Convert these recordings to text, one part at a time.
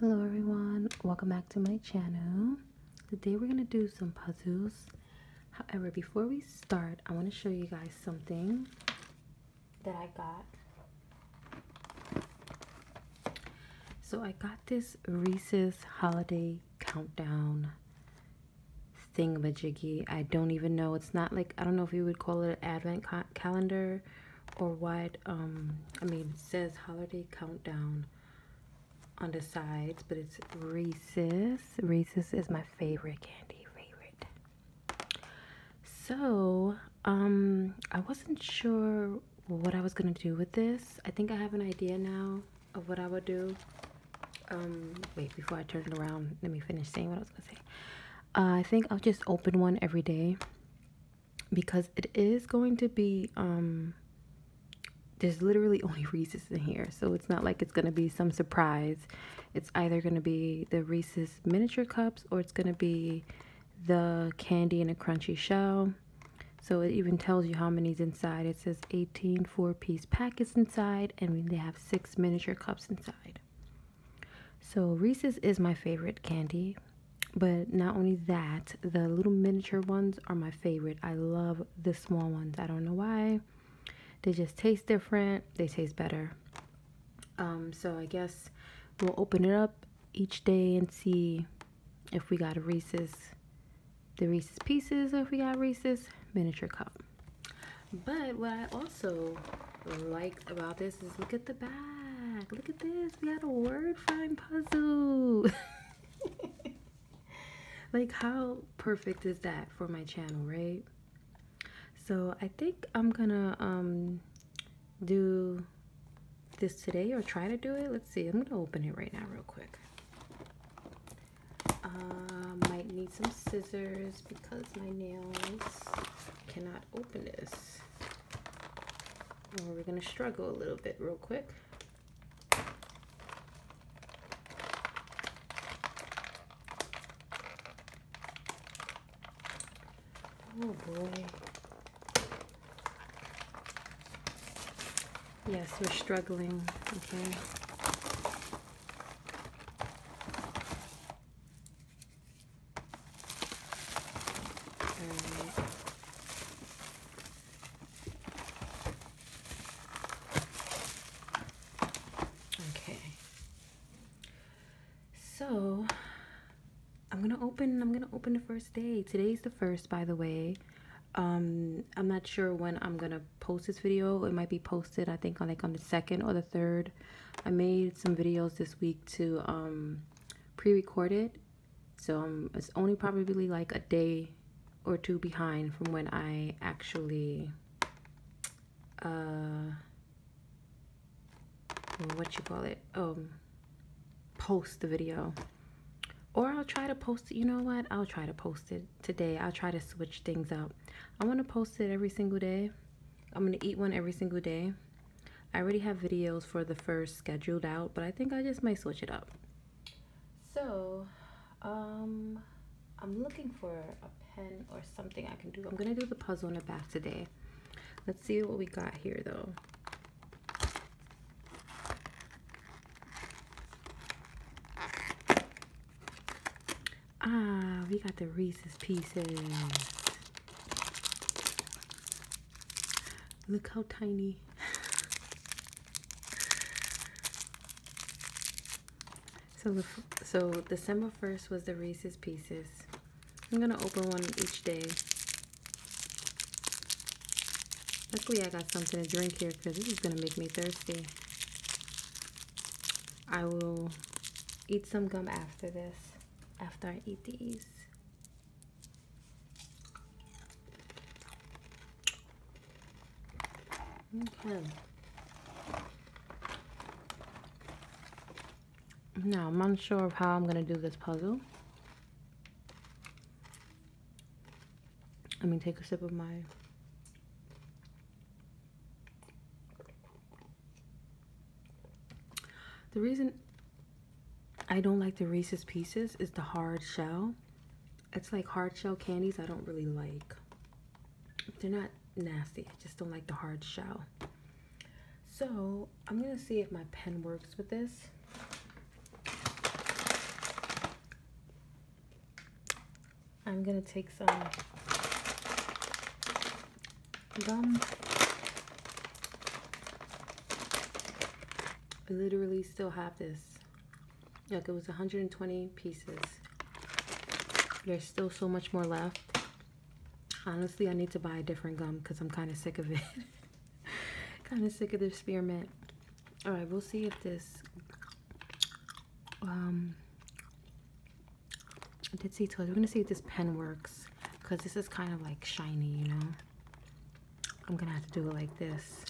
Hello everyone, welcome back to my channel. Today we're going to do some puzzles. However, before we start, I want to show you guys something that I got. So I got this Reese's Holiday Countdown thingamajiggy. I don't even know. It's not like, I don't know if you would call it an advent calendar or what um i mean it says holiday countdown on the sides but it's reese's reese's is my favorite candy favorite so um i wasn't sure what i was gonna do with this i think i have an idea now of what i would do um wait before i turn it around let me finish saying what i was gonna say uh, I think I'll just open one every day because it is going to be um there's literally only Reese's in here so it's not like it's going to be some surprise it's either going to be the Reese's miniature cups or it's going to be the candy in a crunchy shell so it even tells you how many's inside it says 18 four piece packets inside and they have six miniature cups inside so, Reese's is my favorite candy, but not only that, the little miniature ones are my favorite. I love the small ones. I don't know why. They just taste different, they taste better. Um, so, I guess we'll open it up each day and see if we got a Reese's, the Reese's pieces, if we got Reese's miniature cup. But what I also liked about this look at the back. Look at this. We had a word find puzzle. like how perfect is that for my channel, right? So I think I'm gonna um do this today or try to do it. Let's see. I'm gonna open it right now real quick. Uh, might need some scissors because my nails cannot open this. we're going to struggle a little bit real quick. Oh boy. Yes, we're struggling, okay. Okay. So I'm gonna open I'm gonna open the first day. Today's the first by the way. Um, I'm not sure when I'm gonna post this video. It might be posted I think on like on the second or the third. I made some videos this week to um, pre-record it. So it's only probably like a day or two behind from when I actually, uh, what you call it, um, post the video. Or I'll try to post it, you know what, I'll try to post it today. I'll try to switch things up. I want to post it every single day I'm going to eat one every single day. I already have videos for the first scheduled out, but I think I just might switch it up. So, um, I'm looking for a pen or something I can do. I'm going to do the puzzle in the bath today. Let's see what we got here, though. Ah, we got the Reese's Pieces. Look how tiny. so, so December 1st was the Reese's Pieces. I'm going to open one each day. Luckily I got something to drink here because this is going to make me thirsty. I will eat some gum after this, after I eat these. Okay. Now, I'm unsure of how I'm going to do this puzzle. Let me take a sip of my the reason I don't like the Reese's Pieces is the hard shell. It's like hard shell candies I don't really like. They're not nasty. I just don't like the hard shell. So I'm going to see if my pen works with this. I'm going to take some gum. I literally still have this. Like it was 120 pieces. There's still so much more left. Honestly, I need to buy a different gum because I'm kind of sick of it. kind of sick of the spearmint. All right, we'll see if this um, I did see toys. We're gonna see if this pen works because this is kind of like shiny, you know. I'm gonna have to do it like this.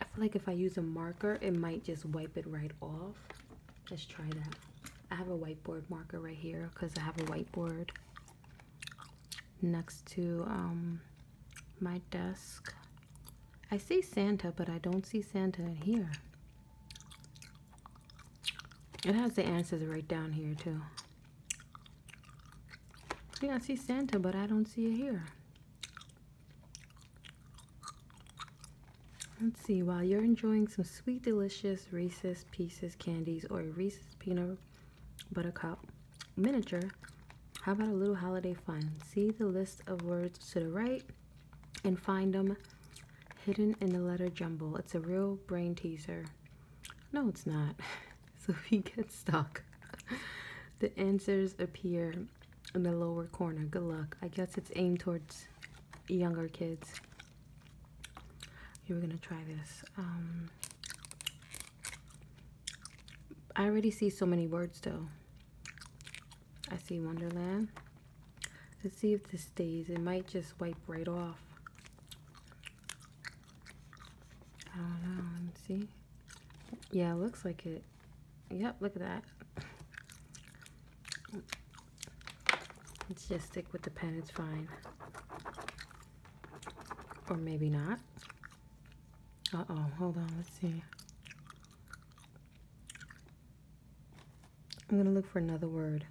I feel like if I use a marker, it might just wipe it right off. Let's try that. I have a whiteboard marker right here because I have a whiteboard next to um, my desk. I see Santa, but I don't see Santa in here. It has the answers right down here too. Yeah, I see Santa, but I don't see you here. Let's see, while you're enjoying some sweet, delicious Reese's Pieces candies or a Reese's Peanut Butter Cup miniature, how about a little holiday fun? See the list of words to the right and find them hidden in the letter jumble. It's a real brain teaser. No, it's not. So if you get stuck, the answers appear in the lower corner. Good luck. I guess it's aimed towards younger kids. You were gonna try this. Um, I already see so many words though. I see Wonderland. Let's see if this stays. It might just wipe right off. I don't know. Let's see. Yeah, it looks like it. Yep, look at that. Let's just stick with the pen, it's fine. Or maybe not. Uh-oh, hold on, let's see. I'm going to look for another word.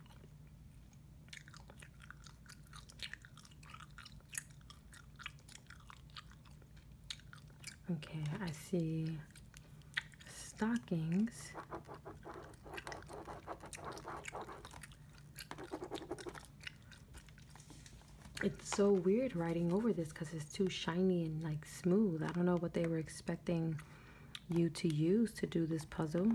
Okay, I see stockings. It's so weird writing over this because it's too shiny and like smooth. I don't know what they were expecting you to use to do this puzzle.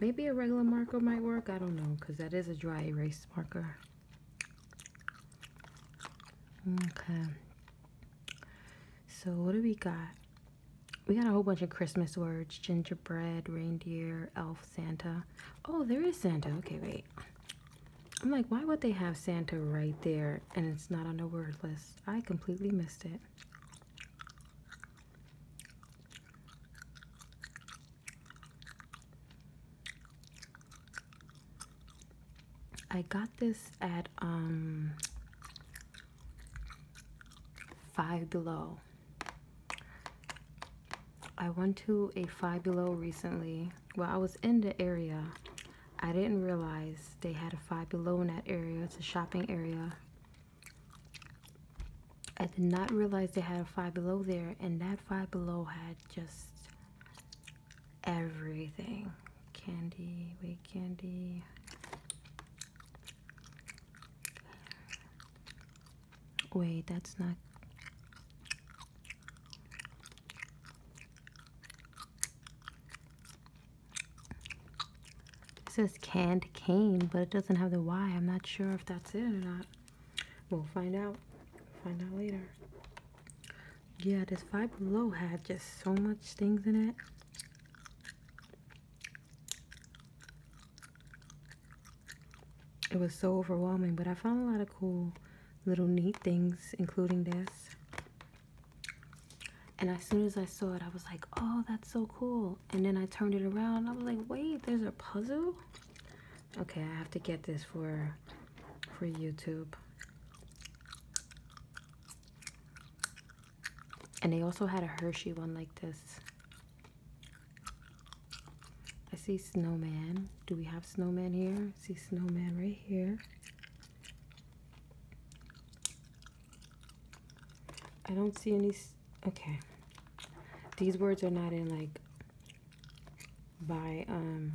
Maybe a regular marker might work, I don't know, because that is a dry erase marker. Okay. So what do we got? We got a whole bunch of Christmas words. Gingerbread, reindeer, elf, Santa. Oh, there is Santa. Okay, wait. I'm like, why would they have Santa right there and it's not on the word list? I completely missed it. I got this at um Five Below. I went to a Five Below recently. Well, I was in the area I didn't realize they had a five below in that area. It's a shopping area. I did not realize they had a five below there, and that five below had just everything candy, wait, candy. Wait, that's not. It says canned cane, but it doesn't have the Y. I'm not sure if that's it or not. We'll find out. Find out later. Yeah, this Five Below had just so much things in it. It was so overwhelming, but I found a lot of cool little neat things, including this. And as soon as I saw it, I was like, oh, that's so cool. And then I turned it around and I was like, wait, there's a puzzle? Okay, I have to get this for, for YouTube. And they also had a Hershey one like this. I see snowman do we have snowman here? see snowman right here. I don't see any. Okay, these words are not in like by um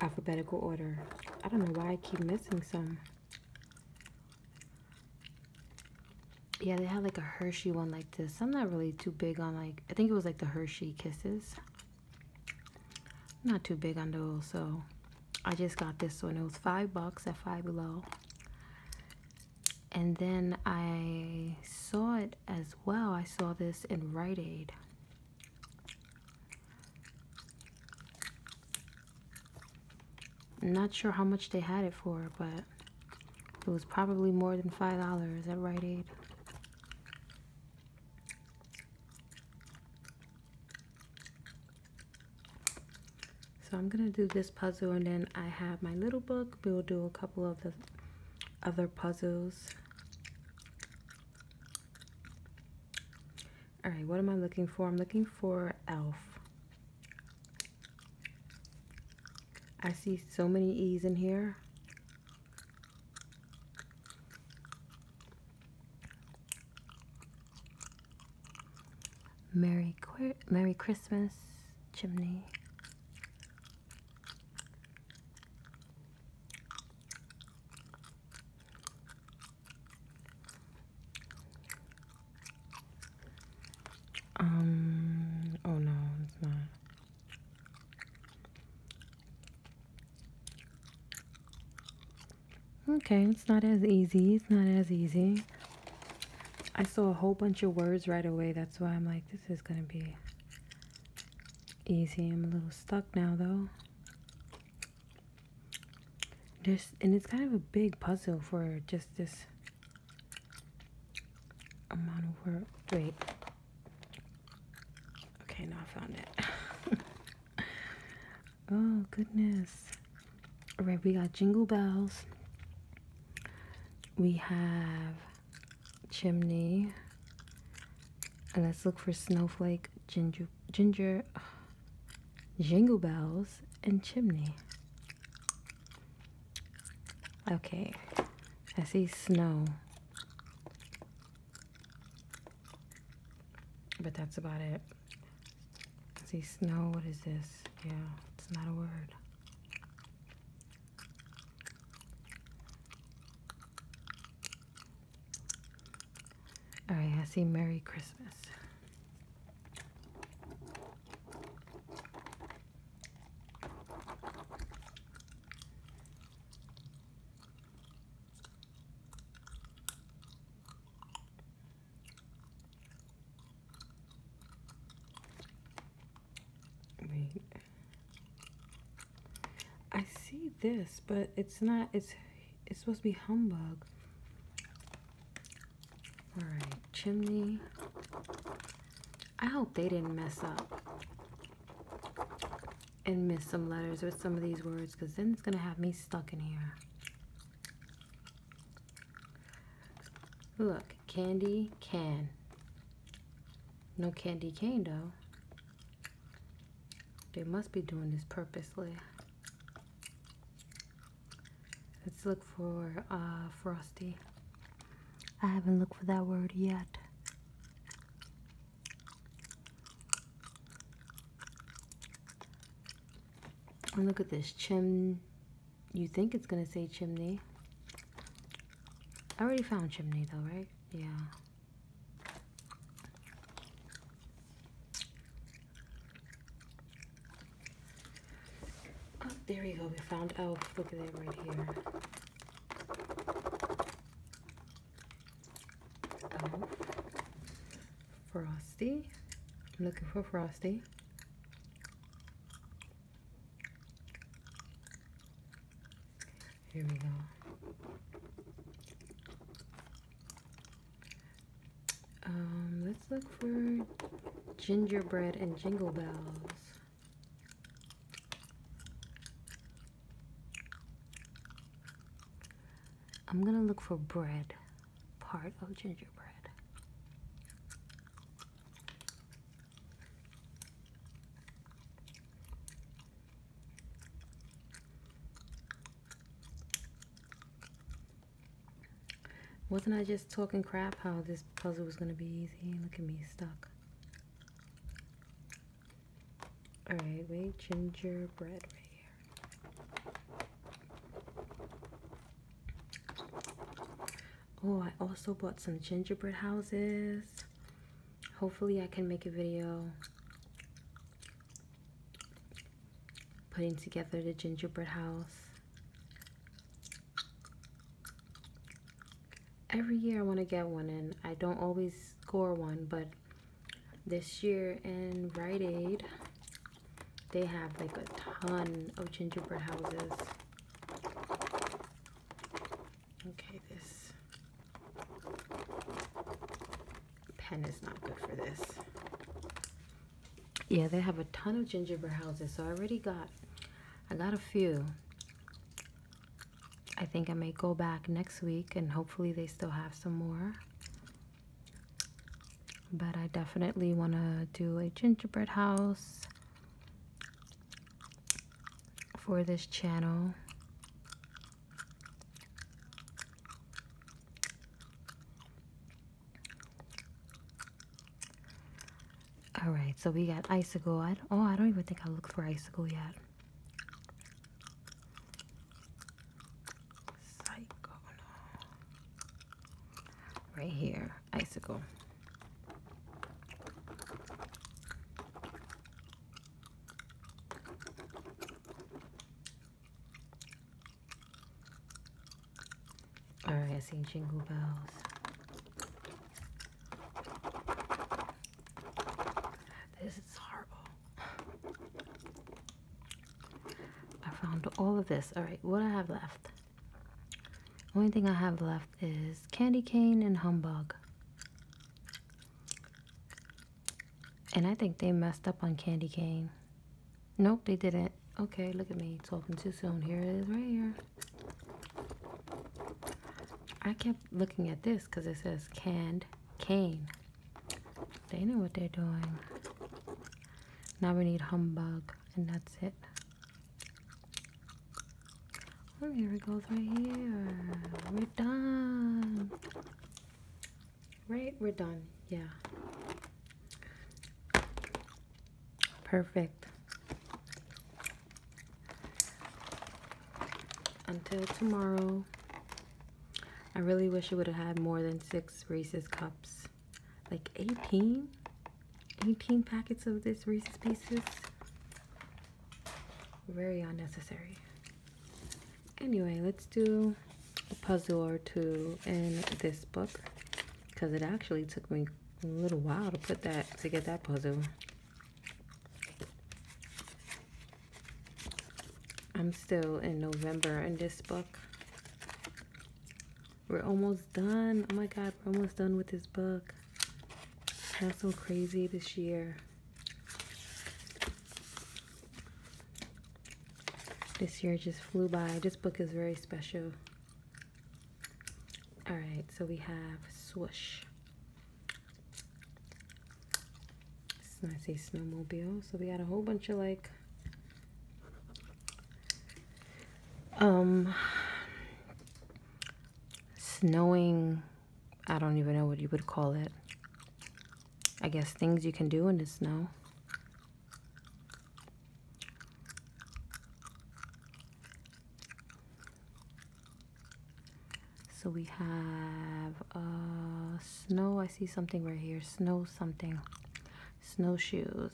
alphabetical order. I don't know why I keep missing some. Yeah, they had like a Hershey one like this. I'm not really too big on like I think it was like the Hershey kisses not too big on those so i just got this one it was five bucks at five below and then i saw it as well i saw this in rite aid not sure how much they had it for but it was probably more than five dollars at rite aid so I'm going to do this puzzle and then I have my little book. We'll do a couple of the other puzzles. All right, what am I looking for? I'm looking for elf. I see so many E's in here. Merry Qu Merry Christmas, chimney. Um, oh no, it's not. Okay, it's not as easy. It's not as easy. I saw a whole bunch of words right away. That's why I'm like, this is going to be easy. I'm a little stuck now, though. There's, and it's kind of a big puzzle for just this amount of words. Wait. Okay, now I found it. oh, goodness. All right, we got Jingle Bells. We have Chimney. And let's look for Snowflake, Ginger, Ginger, Jingle Bells, and Chimney. Okay, I see snow. But that's about it. See, snow, what is this? Yeah, it's not a word. All right, I see Merry Christmas. Wait. I see this, but it's not, it's, it's supposed to be humbug. All right, chimney. I hope they didn't mess up and miss some letters with some of these words because then it's going to have me stuck in here. Look, candy can. No candy cane though. They must be doing this purposely. Let's look for uh, Frosty. I haven't looked for that word yet. And look at this chim. You think it's gonna say chimney. I already found chimney though, right? Yeah. Oh, there you go. We found elf. Look at it right here. Frosty. looking for Frosty. Here we go. Um, let's look for gingerbread and jingle bells. I'm gonna look for bread, part of gingerbread. Wasn't I just talking crap how this puzzle was gonna be easy? Look at me stuck. All right, wait, gingerbread right here. Oh, I also bought some gingerbread houses. Hopefully I can make a video putting together the gingerbread house every year I want to get one and I don't always score one but this year in Rite Aid they have like a ton of gingerbread houses okay this pen is not good for this yeah they have a ton of gingerbread houses so I already got I got a few I think I may go back next week and hopefully they still have some more. But I definitely want to do a gingerbread house for this channel. All right, so we got icicle. oh, I don't even think I looked for icicle yet. Right here, icicle. All right, I see jingle bells. This is horrible. I found all of this. All right, what I have left. Only thing I have left is candy cane and humbug. And I think they messed up on candy cane. Nope, they didn't. Okay, look at me talking too soon. Here it is right here. I kept looking at this because it says canned cane. They know what they're doing. Now we need humbug, and that's it. Oh, here it goes right here. We're done. Right? We're done. Yeah. Perfect. Until tomorrow, I really wish it would have had more than six Reese's cups. Like 18? 18 packets of this Reese's Pieces? Very unnecessary. Anyway, let's do a puzzle or two in this book because it actually took me a little while to put that to get that puzzle. I'm still in November in this book. We're almost done. Oh my god, we're almost done with this book. That's so crazy this year. This year just flew by. This book is very special. All right, so we have swoosh. It's not say snowmobile. So we got a whole bunch of like um snowing I don't even know what you would call it. I guess things you can do in the snow. So we have uh, snow. I see something right here. Snow something. Snowshoes.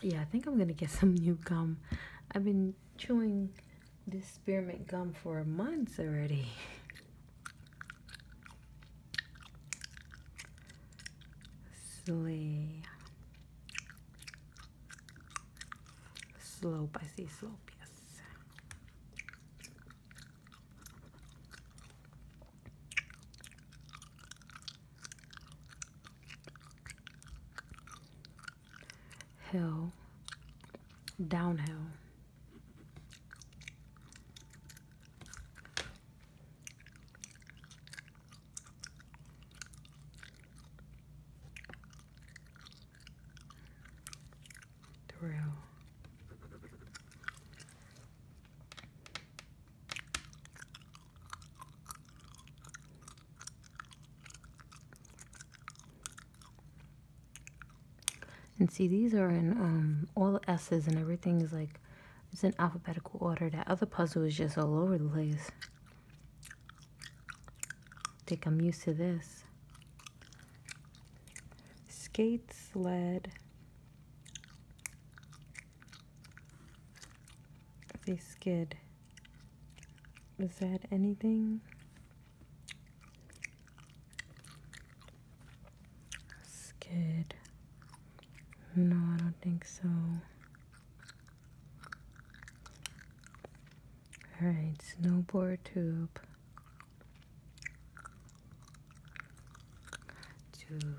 Yeah, I think I'm gonna get some new gum. I've been chewing this spearmint gum for months already. Slay. Slope, I see slope, yes hill, downhill. Thrill, and see, these are in um, all the S's and everything is like, it's in alphabetical order. That other puzzle is just all over the place. I think I'm used to this. Skate sled. They skid. Is that anything? Skid. No, I don't think so. Alright, snowboard tube tube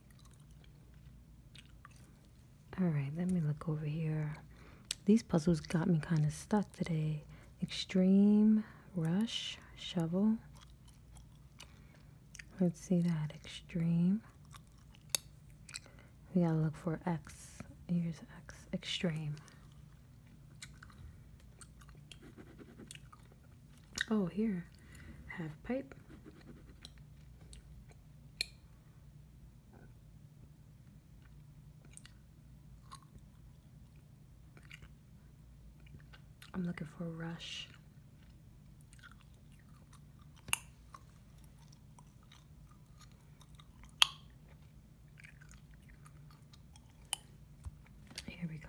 All right, let me look over here. These puzzles got me kind of stuck today. Extreme, rush, shovel. Let's see that. Extreme. We gotta look for X. Here's X. Extreme. Oh, here. Have pipe. I'm looking for a rush. Here we go.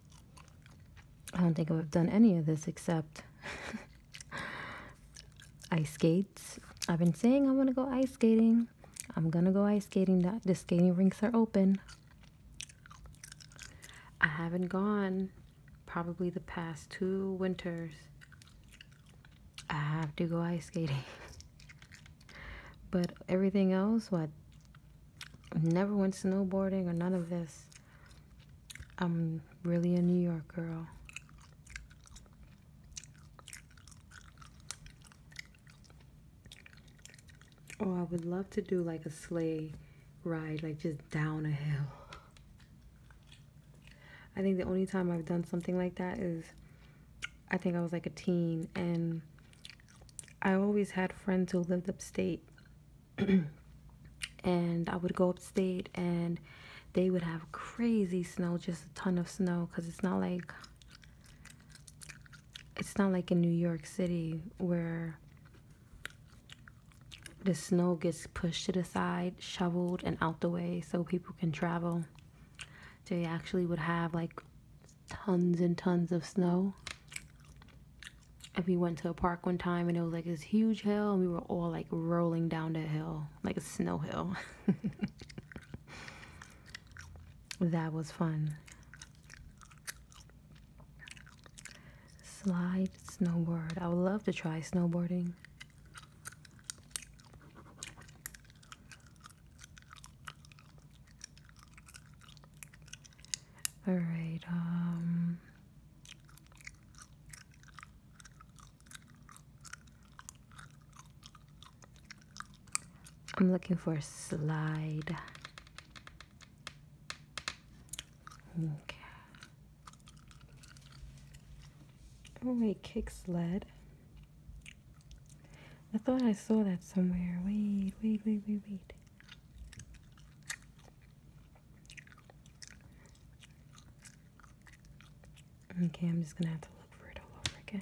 I don't think I've done any of this except ice skates. I've been saying I want to go ice skating. I'm going to go ice skating. The skating rinks are open. I haven't gone probably the past two winters. I have to go ice skating. but everything else, what? Never went snowboarding or none of this. I'm really a New York girl. Oh, I would love to do like a sleigh ride, like just down a hill. I think the only time I've done something like that is I think I was like a teen and I always had friends who lived upstate and I would go upstate and they would have crazy snow, just a ton of snow because it's not like it's not like in New York City where the snow gets pushed to the side, shoveled, and out the way so people can travel. They actually would have like tons and tons of snow and we went to a park one time and it was like this huge hill and we were all like rolling down the hill like a snow hill that was fun slide snowboard i would love to try snowboarding all right um, I'm looking for a slide. Okay. Oh wait, kick sled. I thought I saw that somewhere. Wait, wait, wait, wait, wait. Okay, I'm just gonna have to look for it all over again.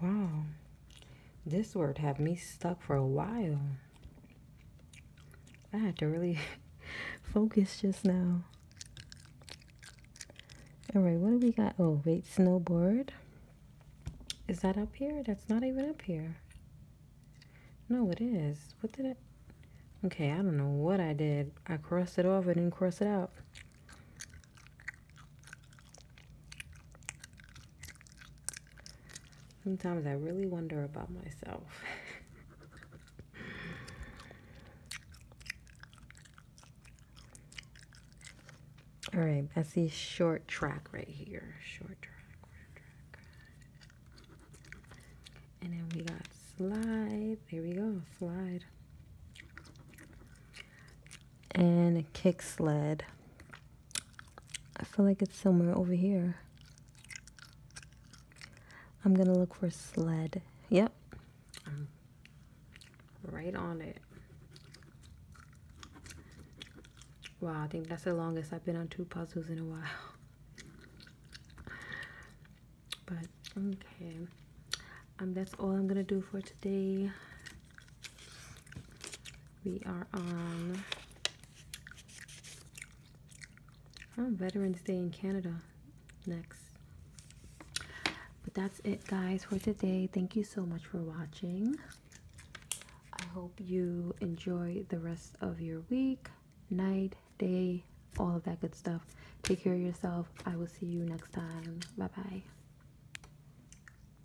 Wow, this word had me stuck for a while. I had to really focus just now. All right, what do we got? Oh, wait, snowboard. Is that up here? That's not even up here. No, it is. What did it? Okay, I don't know what I did. I crossed it off I didn't cross it out. Sometimes I really wonder about myself. All right, I see short track right here. Short track, short track. And then we got slide. There we go, slide. And kick sled. I feel like it's somewhere over here. I'm gonna look for sled. Yep. Right on it. Wow, I think that's the longest I've been on two puzzles in a while. But okay. Um that's all I'm gonna do for today. We are on, oh, Veterans Day in Canada next. But that's it, guys, for today. Thank you so much for watching. I hope you enjoy the rest of your week, night, day, all of that good stuff. Take care of yourself. I will see you next time. Bye bye.